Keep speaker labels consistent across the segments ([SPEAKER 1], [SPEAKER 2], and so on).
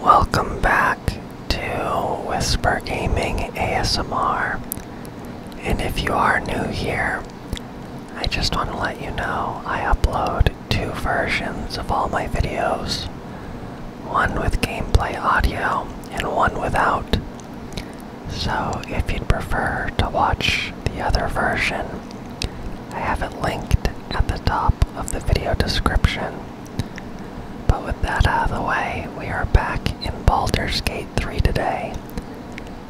[SPEAKER 1] Welcome back to Whisper Gaming ASMR. And if you are new here, I just want to let you know I upload two versions of all my videos one with gameplay audio and one without. So if you'd prefer to watch the other version, I have it linked at the top of the video description. But with that out of the way, we are back in Baldur's Gate 3 today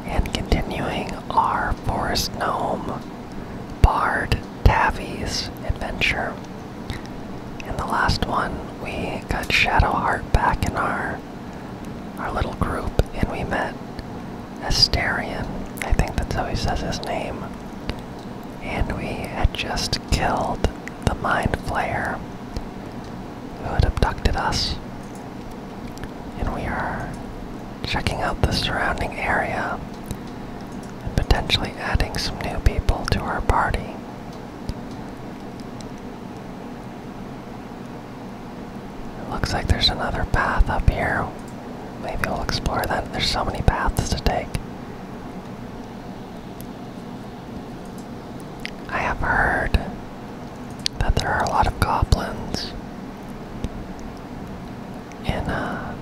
[SPEAKER 1] and continuing our Forest Gnome Bard Tavies adventure. In the last one, we got Shadowheart back in our our little group and we met Asterion, I think that's how he says his name. And we had just killed the Mind Flayer who had abducted us. And we are checking out the surrounding area and potentially adding some new people to our party. It looks like there's another path up here Maybe we will explore that. There's so many paths to take. I have heard that there are a lot of goblins in uh,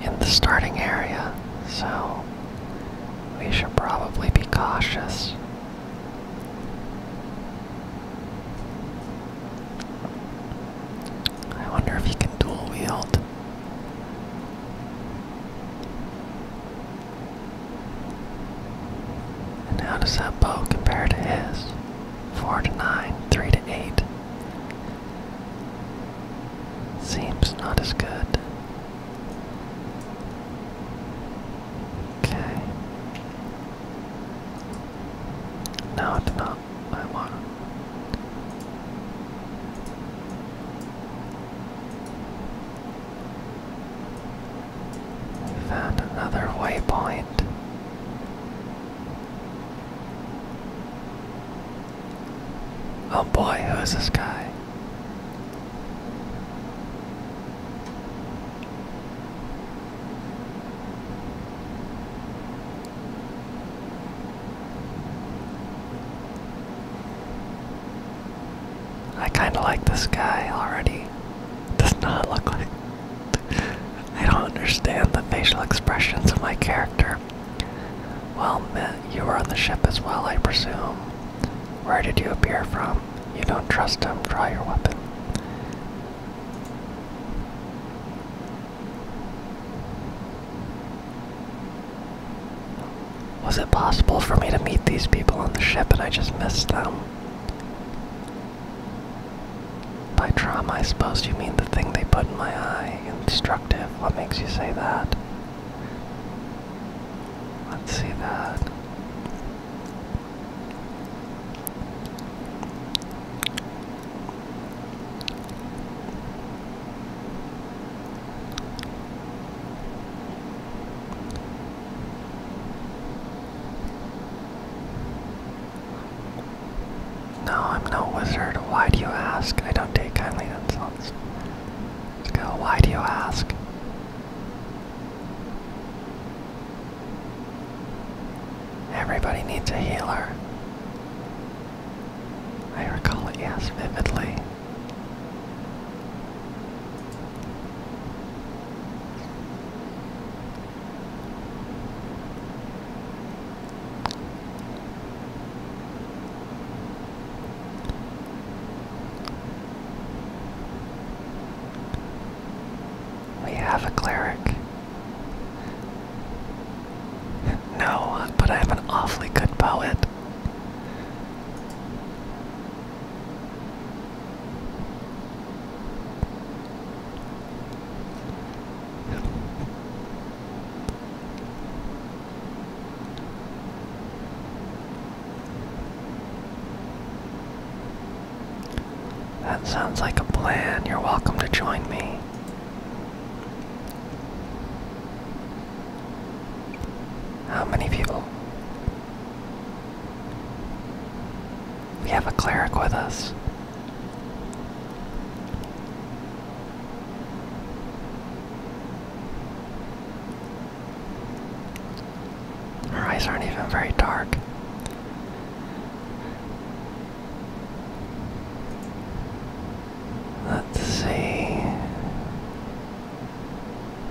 [SPEAKER 1] in the starting area, so we should probably be cautious. I wonder if he can dual wield. And how does that bow compare to his? 4 to 9, 3 to 8. Seems not as good. Okay. No, it did not. I want found another waypoint. Oh boy, who is this guy? I kind of like this guy already. Does not look like. I don't understand the facial expressions of my character. Well, you were on the ship as well, I presume. Where did you appear from? You don't trust him. Draw your weapon. Was it possible for me to meet these people on the ship and I just missed them? By trauma, I suppose you mean the thing they put in my eye. Instructive. What makes you say that? Let's see that. No, I'm no wizard. Why do you ask? I don't take kindly to insults. let Why do you ask? Everybody needs a healer. I recall it, yes, vividly. We have a cleric. no, but I have an awfully good poet. That sounds like a plan. You're welcome to join me. How many people? We have a cleric with us. Her eyes aren't even very dark. Let's see.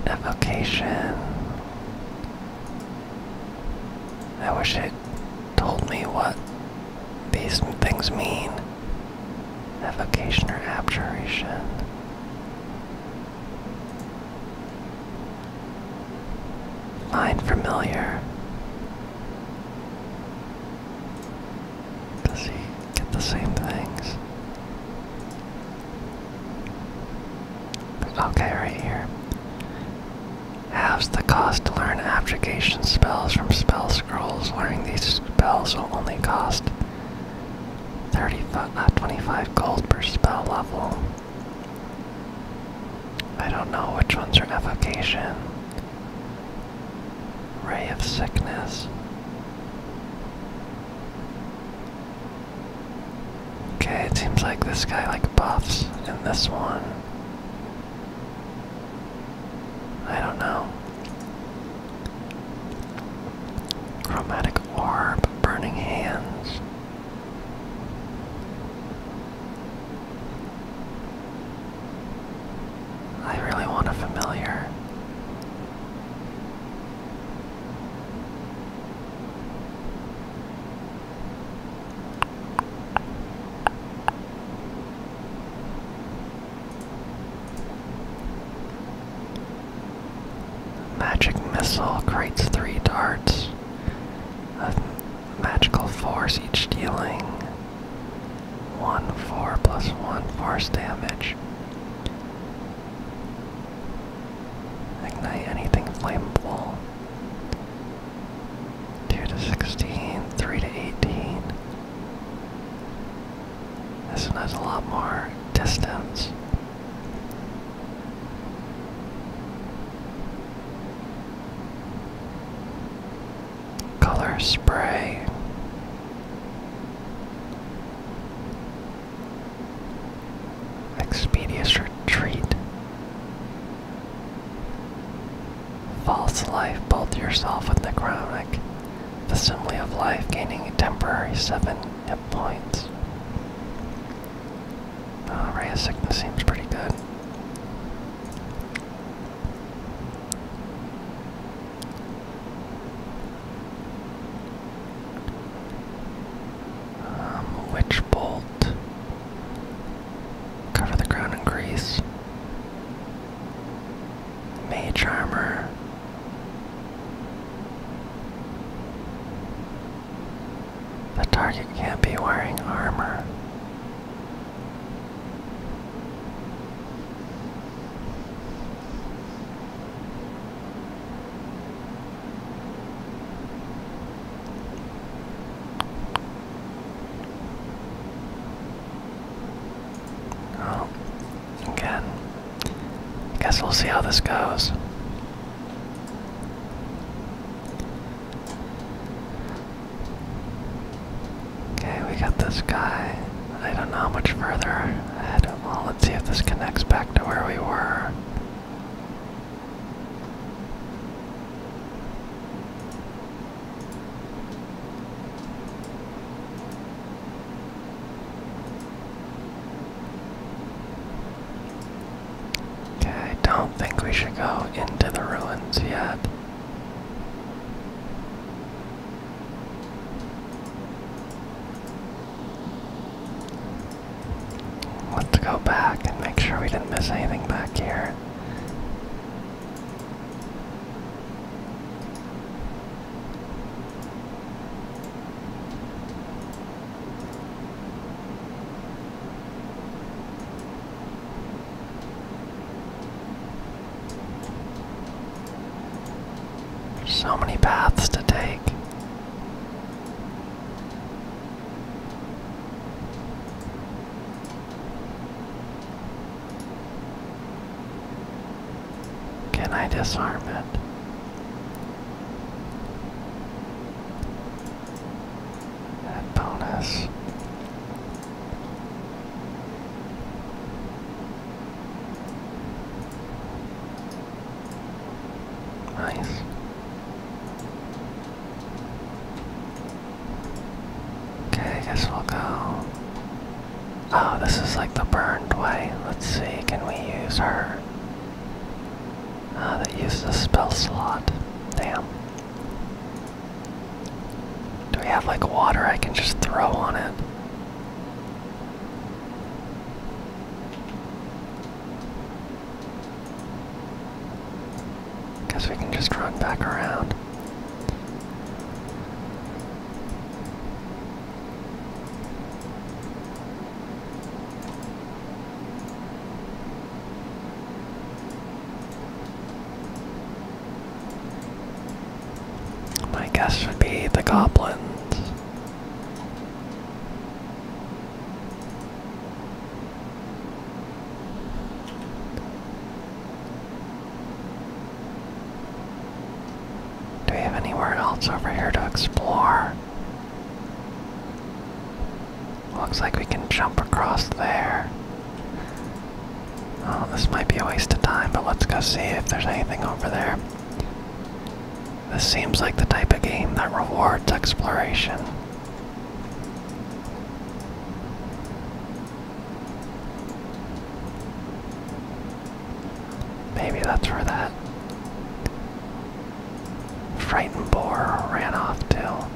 [SPEAKER 1] Evocation. I wish it told me what these things mean. Evocation or abjuration. Line familiar. Does he get the same things? Okay, right here. Halves the cost to learn abjuration spells from spell scrolls. Learning these spells will only cost 35, not uh, 25 gold per spell level. I don't know which ones are evocation. Ray of sickness. Okay, it seems like this guy like buffs in this one. I don't know. Chromatic orb, burning hands. I really want a familiar. Magic missile creates three darts magical force each dealing 1 4 plus 1 force damage. Ignite anything flammable. 2 to 16, 3 to 18. This one has a lot more distance. Color spray. Expedious retreat. False life, Bolt yourself with the chronik. The simile of life gaining a temporary seven hit points. Uh, Ray of Sickness seems pretty good. Um, witch bolt. Cover the ground in grease. Mage armor. The target can't be wearing armor. Oh, again. I guess we'll see how this goes. Okay, we got this guy. I don't know how much further ahead. Well, let's see if this connects back to where we were. Okay, I don't think we should go into the ruins yet. Let's go back and make sure we didn't miss anything back here. So many paths to take. Can I disarm it? And bonus. Nice. Okay, I guess we'll go. Oh, this is like the burned way. Let's see, can we use her? Ah, uh, that used spell slot. Damn. Do we have like water I can just throw on it? Guess we can just run back around. My guess would be the goblins. Do we have anywhere else over here to explore? Looks like we can jump across there. Oh, this might be a waste of time, but let's go see if there's anything over there. This seems like the type of game that rewards exploration. Maybe that's where that frightened boar ran off to.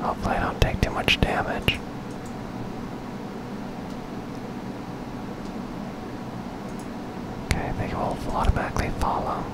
[SPEAKER 1] Hopefully I don't take too much damage. Okay, they will automatically follow.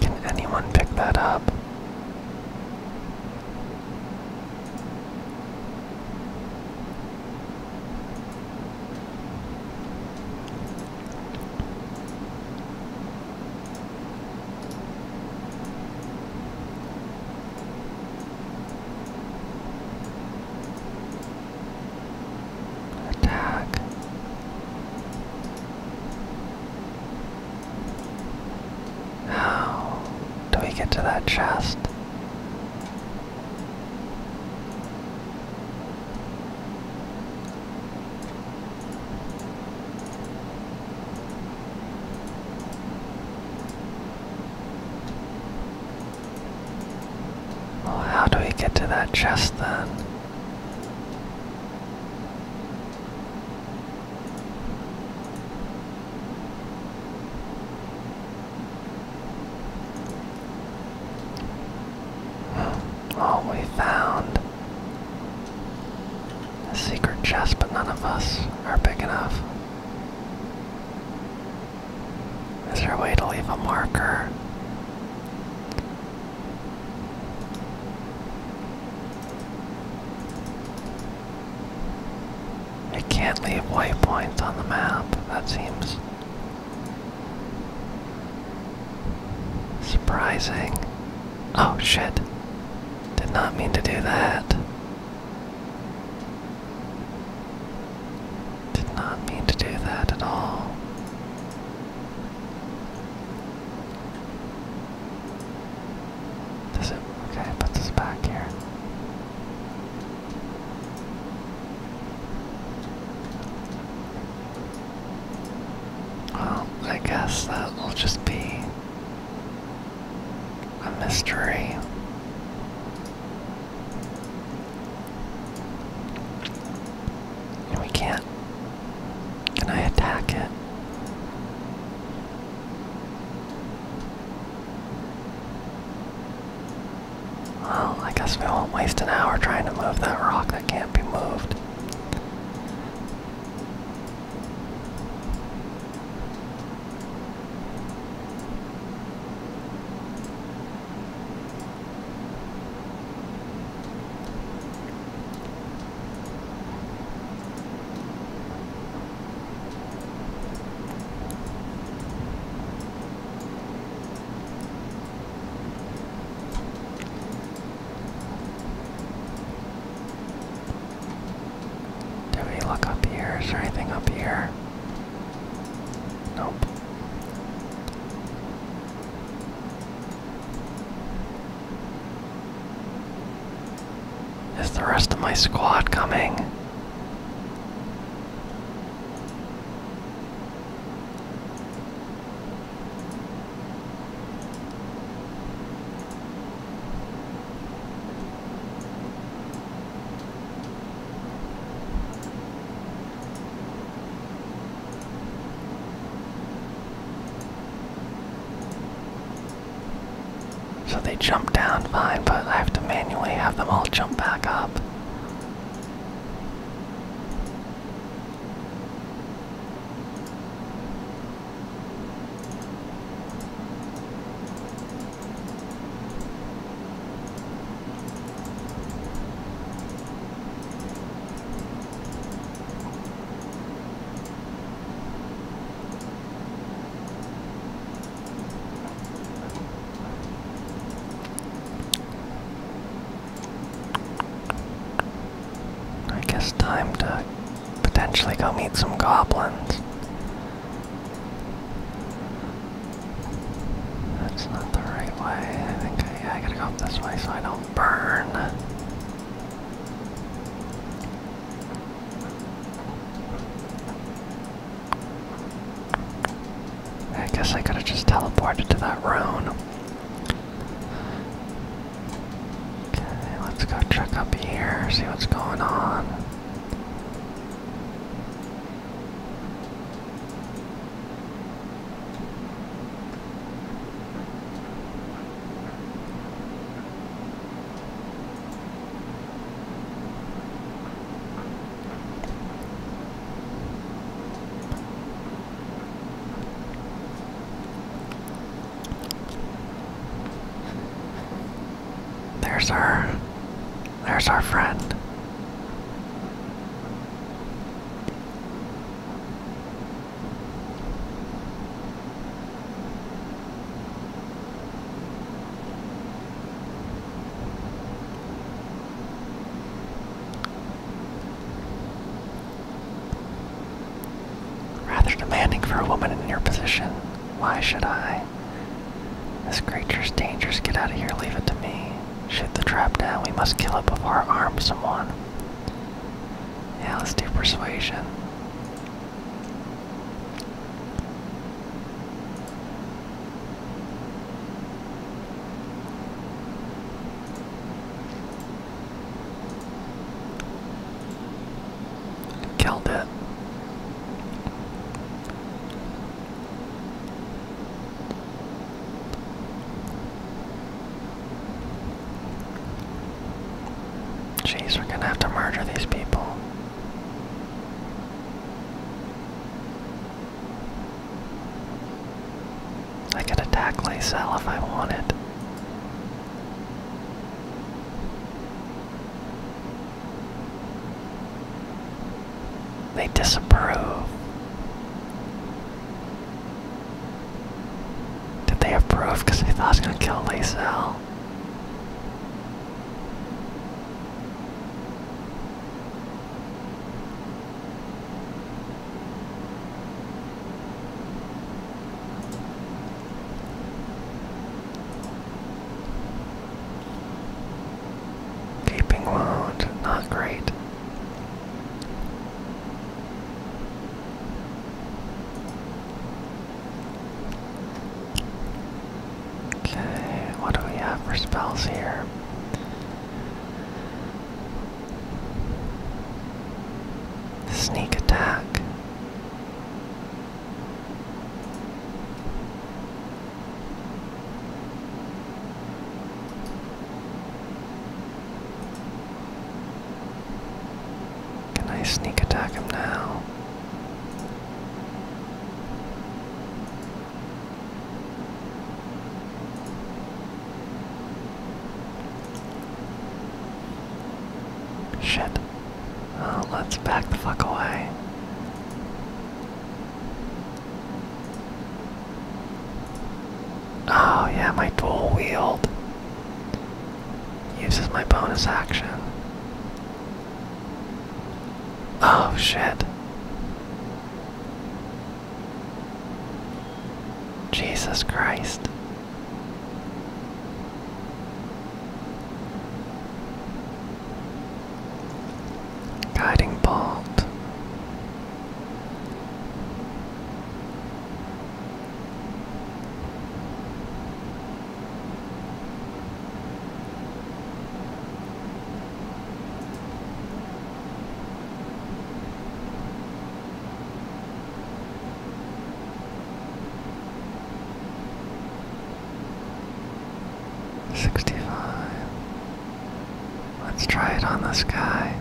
[SPEAKER 1] Can anyone pick that up? Attack. How do we get to that chest? Well, how do we get to that chest then? Oh, we found a secret chest, but none of us are big enough. Is there a way to leave a marker? I can't leave waypoints on the map, that seems surprising. Oh shit, did not mean to do that. Did not mean to do that at all. Does it? Okay, put this back here. Well, I guess that will just be a mystery. We can't can I attack it? Well, I guess we won't waste an hour trying to move that rock that can't be moved. Do we look up here? Is there anything up here? Nope. Is the rest of my squad coming? So they jump down fine, but I have to manually have them all jump back up. I guess time to potentially go meet some goblins. That's not the right way. I I gotta go up this way so I don't burn. I guess I could have just teleported to that room. Okay, let's go check up here, see what's going on. There's our there's our friend. Rather demanding for a woman in your position. Why should I? This creature's dangerous. Get out of here. Leave it to me. Shoot the trap down. We must kill it before it arms someone. Yeah, let's do persuasion. Killed it. Jeez, we're gonna have to murder these people. I could attack Lysel if I wanted. They disapprove. Did they approve? Because they thought I was gonna kill Lazel. Gaping wound, not great. Okay, what do we have for spells here? Sneak attack. Can I sneak attack him now? Shit. Uh, let's back the fuck away. Oh yeah, my dual wield uses my bonus action. Oh shit. Jesus Christ. Guiding bolt. Sixty-five. Let's try it on this guy.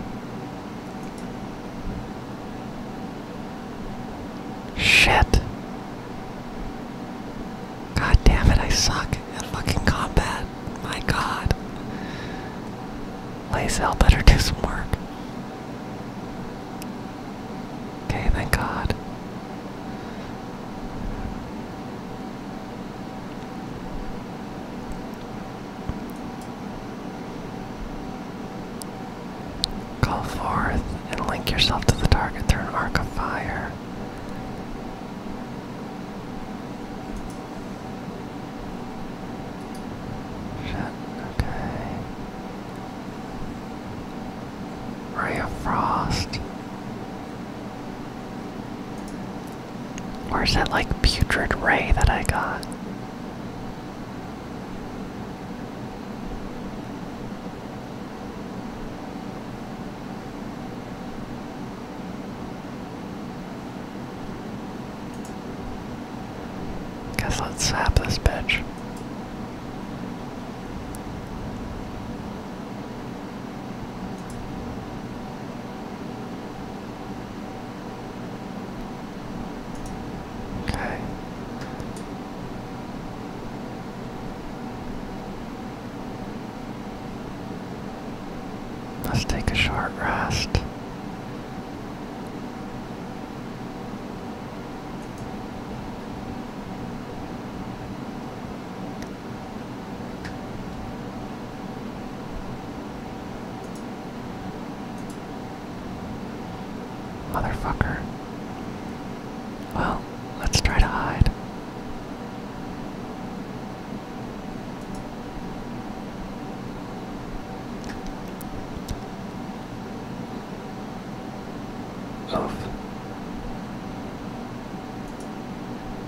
[SPEAKER 1] Shit. God damn it, I suck at fucking combat. My god. Lazel better do some work. Okay, thank god. Call forth and link yourself to the target through an arc of fire. okay. Ray of Frost. Or is that like putrid ray that I got? Guess let's zap this bitch. Okay. Let's take a short rest. Motherfucker. Well, let's try to hide. Oof.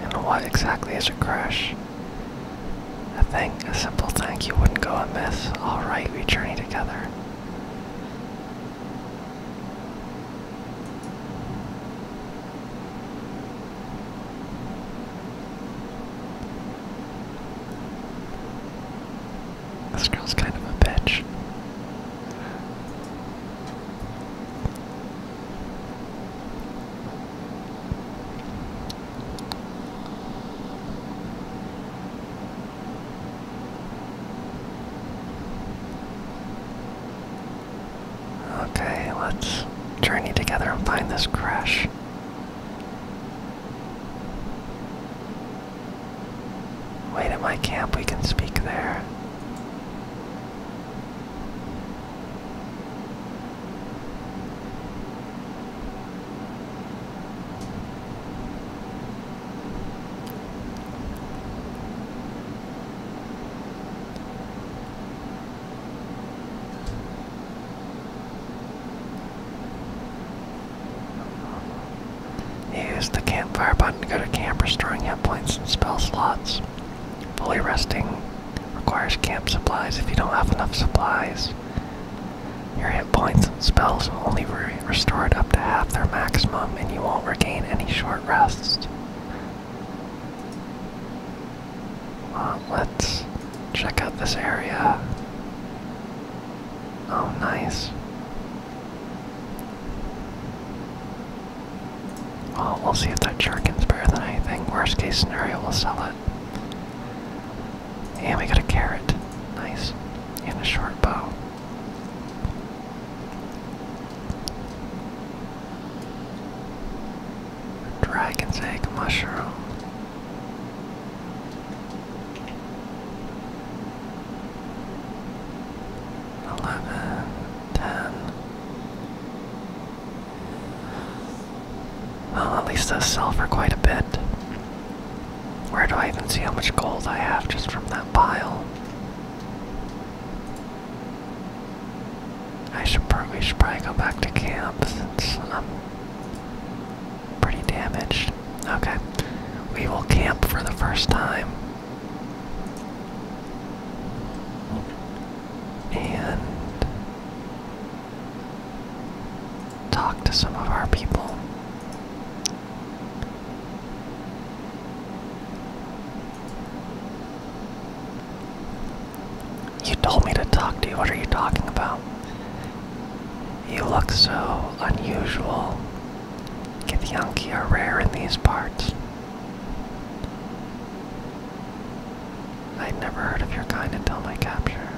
[SPEAKER 1] And what exactly is a crush? A thing, a simple thing you wouldn't go amiss. Alright, we journey together. This girl's kind of a bitch. Okay, let's journey together and find this crash. Wait at my camp, we can speak there. Use the campfire button to go to camp, restoring hit points and spell slots. Fully resting requires camp supplies. If you don't have enough supplies, your hit points and spells will only be restored up to half their maximum, and you won't regain any short rest. Uh, let's check out this area. Oh, nice. Well, we'll see if that Jerkin's better than anything. Worst case scenario, we'll sell it. And we got a carrot. Nice. And a short bow. Dragon's egg mushroom eleven, ten. Well, at least those sell for quite a bit. Where do I even see how much gold I have just from that pile? I should probably, should probably go back to camp since I'm pretty damaged. Okay, we will camp for the first time and talk to some of our people. You told me to talk to you. What are you talking about? You look so unusual. Githyanki are rare in these parts. I'd never heard of your kind until my capture.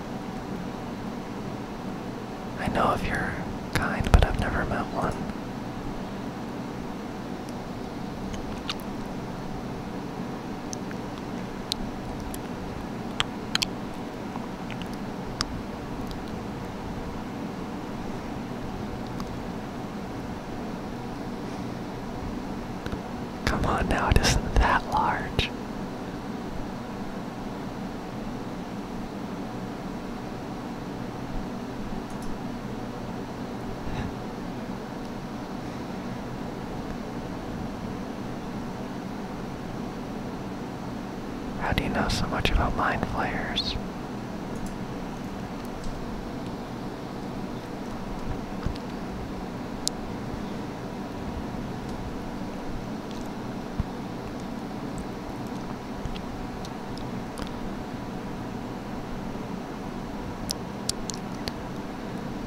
[SPEAKER 1] I know of your kind, but I've never met one. Come on now, it isn't that large. How do you know so much about mine flares?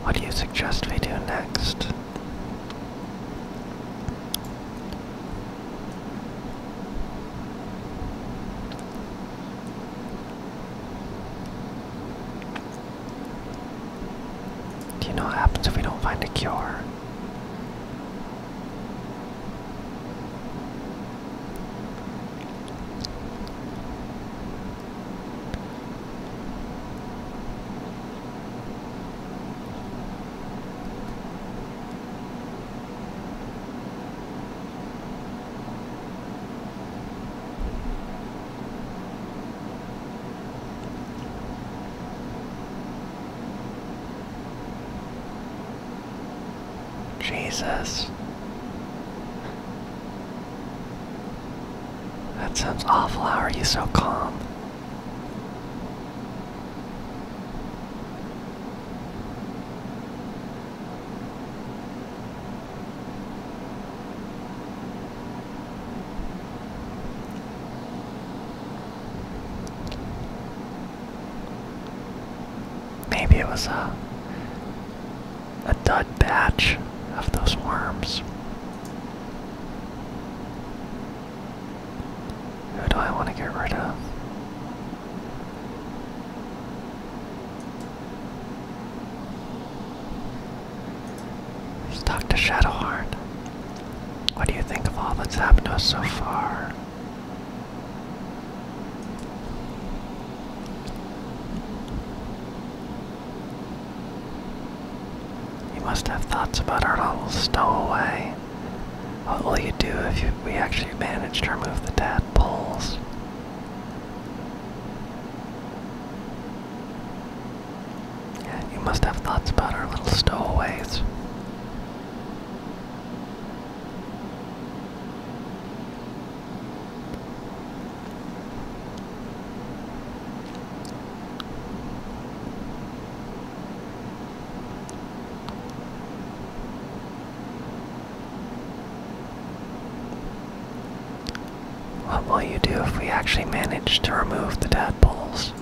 [SPEAKER 1] What do you suggest we do next? Do you know what happens if we don't find a cure? Jesus. That sounds awful. How are you so calm? Maybe it was a a dud batch of those worms. Who do I want to get rid of? Let's talk to Shadowheart. What do you think of all that's happened to us so far? You must have thoughts about our little stowaway. What will you do if we actually manage to remove the tadpoles? Yeah, you must have thoughts about our little stowaways. What will you do if we actually manage to remove the tadpoles?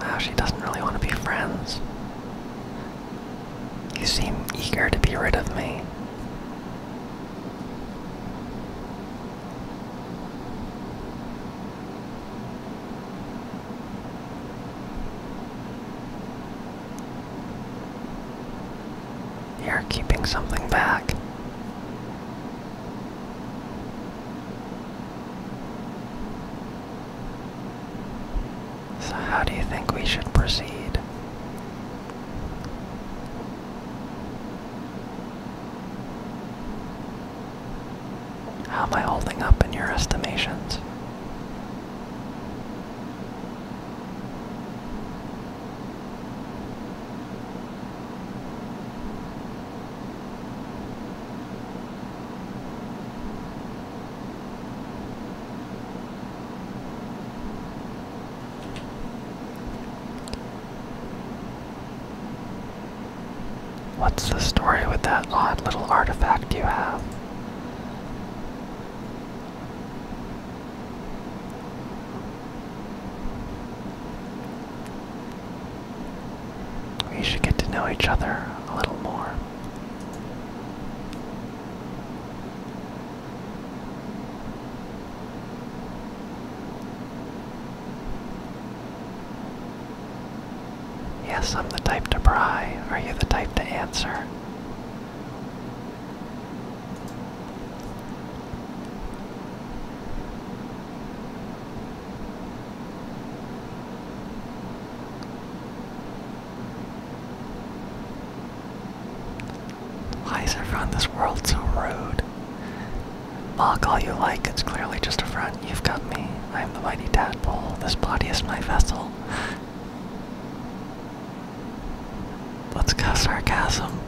[SPEAKER 1] Wow, she doesn't really want to be friends. You seem eager to be rid of me. You're keeping something back. So, how do you think we should proceed? How am I holding up in your estimations? What's the story with that odd little artifact you have? We should get to know each other a little more. Yes, I'm the type to pry. Are you the type to answer? Why is everyone in this world so rude? Mock all you like, it's clearly just a friend. You've got me. I am the mighty tadpole. This body is my vessel. Let's go sarcasm.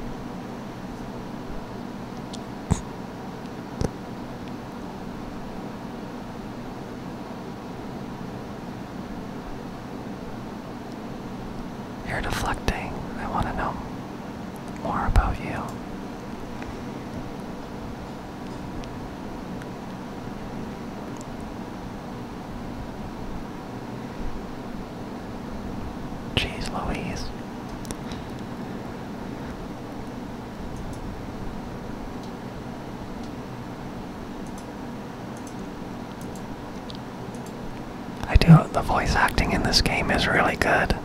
[SPEAKER 1] You're deflecting. I want to know more about you. Jeez Louise. I do, the voice acting in this game is really good.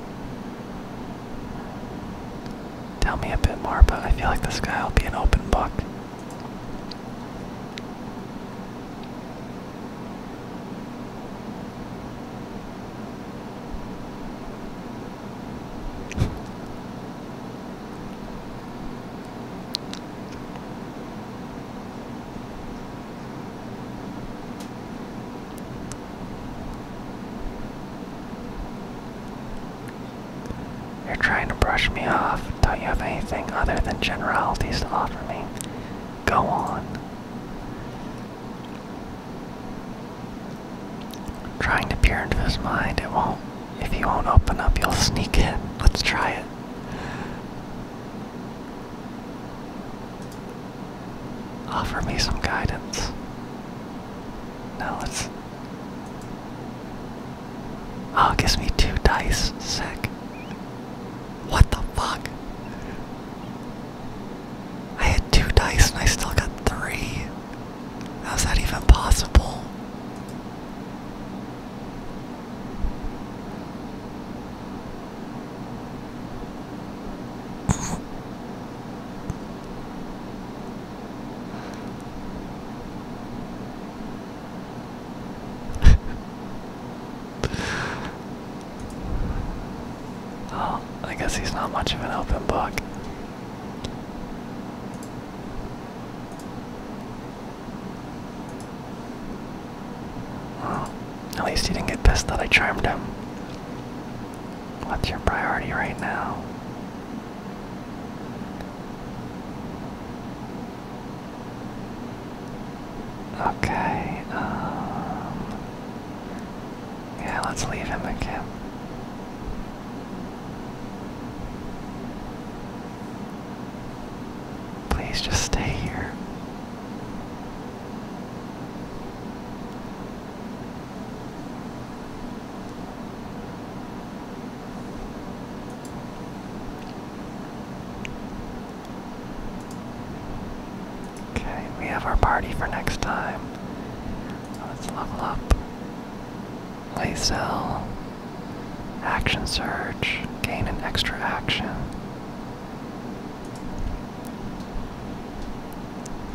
[SPEAKER 1] Tell me a bit more, but I feel like this guy will be an open book. You're trying to brush me off. Don't you have anything other than generalities to offer me? Go on. trying to peer into his mind. It won't. If he won't open up, you'll sneak in. Let's try it. Offer me some guidance. No, it's. Oh, it gives me two dice. Sick. What the fuck? I had two dice and I still got three. How's that even possible? well, I guess he's not much of an open book. Well, at least he didn't get pissed that I charmed him. What's your priority right now? Okay, um, Yeah, let's leave him again. Please just stay here. Okay, we have our party for next time. Let's level up. Lazel. Action search, Gain an extra action.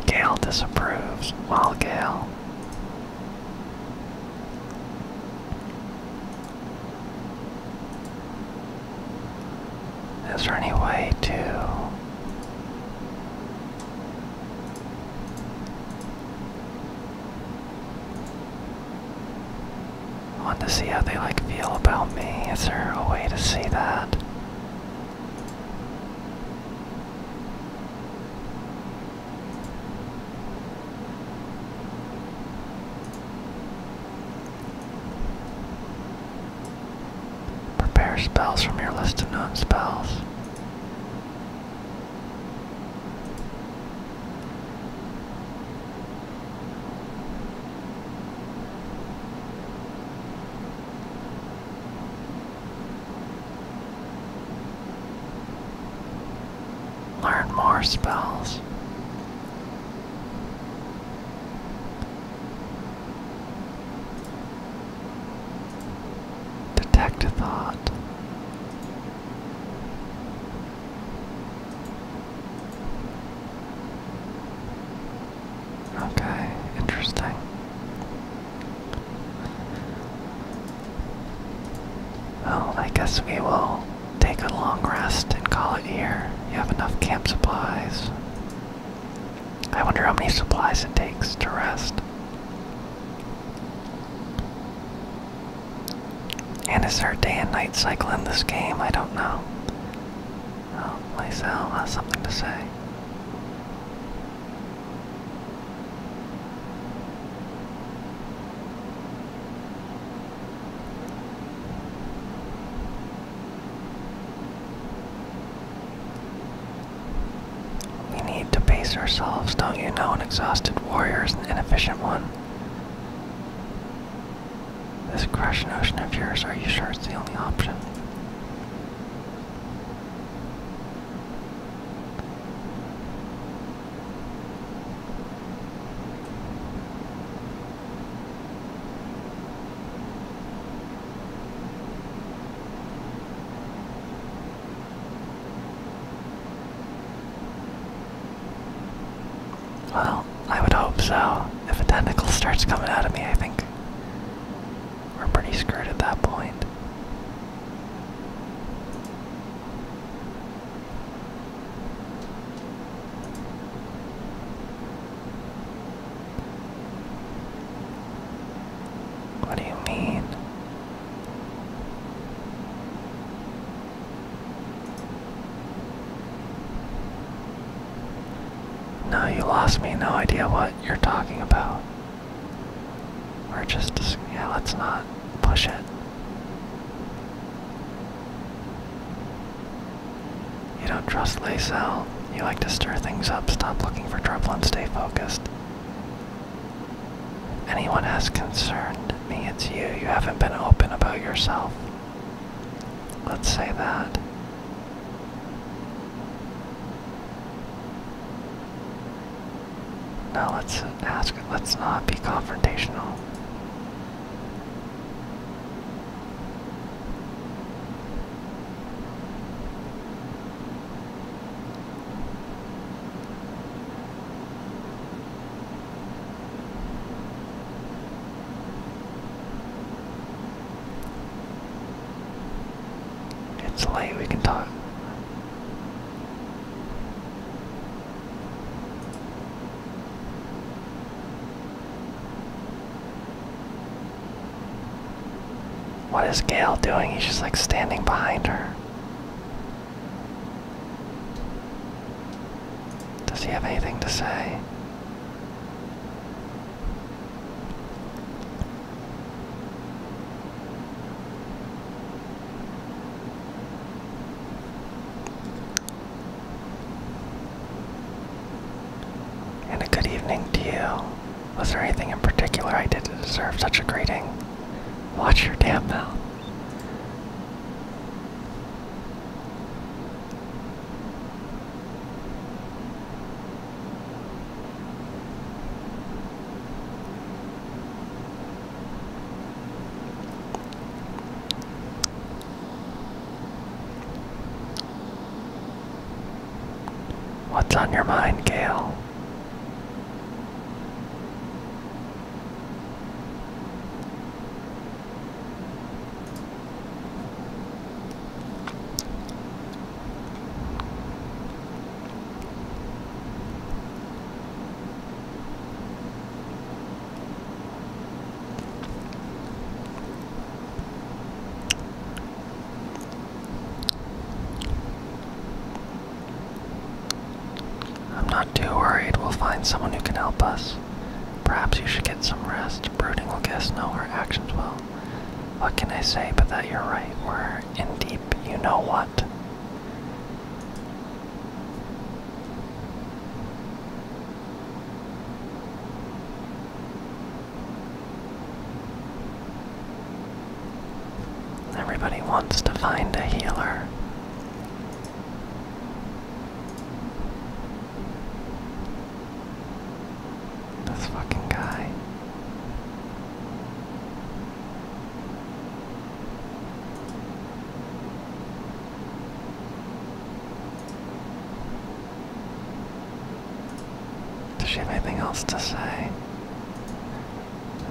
[SPEAKER 1] Gale disapproves. Well, Gale. Is there any way to want to see how they like feel about me. Is there a way to see that? Prepare spells from your list of known spells. Learn more spells. Detect a thought. Okay, interesting. Well, I guess we will take a long rest and call it here. You have enough camp supplies. I wonder how many supplies it takes to rest. And is there a day and night cycle in this game? I don't know. Oh, Lysel has something to say. We need to pace ourselves, don't you know? An exhausted warrior is an inefficient one. This crashing notion of yours, are you sure it's the only option? Well, I would hope so. If a tentacle starts coming out of me, I think we're pretty screwed at that point. What do you mean? No, you lost me. No idea what you're talking about. We're just, yeah, let's not push it. You don't trust Laysel. You like to stir things up, stop looking for trouble, and stay focused. Anyone has concerned me, it's you. You haven't been open about yourself. Let's say that. Now let's ask, let's not be confrontational. It's late, we can talk. What is Gail doing? He's just like standing behind her. Does he have anything to say? And a good evening to you. Was there anything in particular I did to deserve such a greeting? Watch your damn mouth. What's on your mind, Gail? I'm not too worried. We'll find someone who can help us. Perhaps you should get some rest. Brooding will guess no, her actions will. What can I say but that you're right? We're in deep, you know what? Everybody wants to find a healer. This fucking guy. Does she have anything else to say?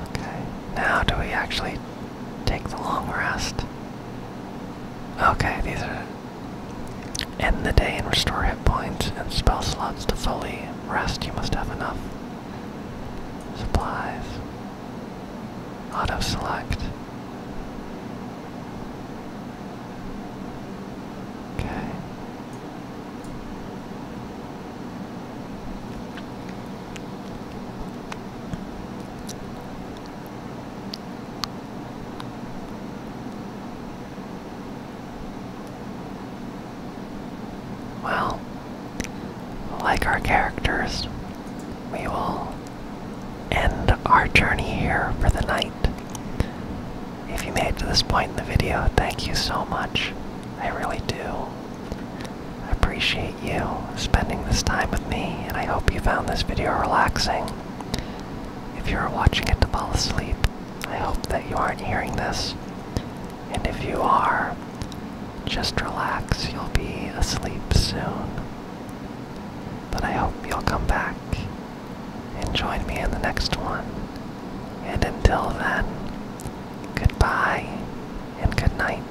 [SPEAKER 1] Okay. Now, do we actually take the long rest? Okay, these are End the day and restore hit points and spell slots to fully rest. You must have enough supplies. Auto select. Okay. Well, like our characters, we will end our journey here for the night. If you made it to this point in the video, thank you so much. I really do appreciate you spending this time with me, and I hope you found this video relaxing. If you are watching it to fall asleep, I hope that you aren't hearing this. And if you are, just relax, you'll be asleep soon. But I hope you'll come back and join me in the next one. And until then, goodbye and good night.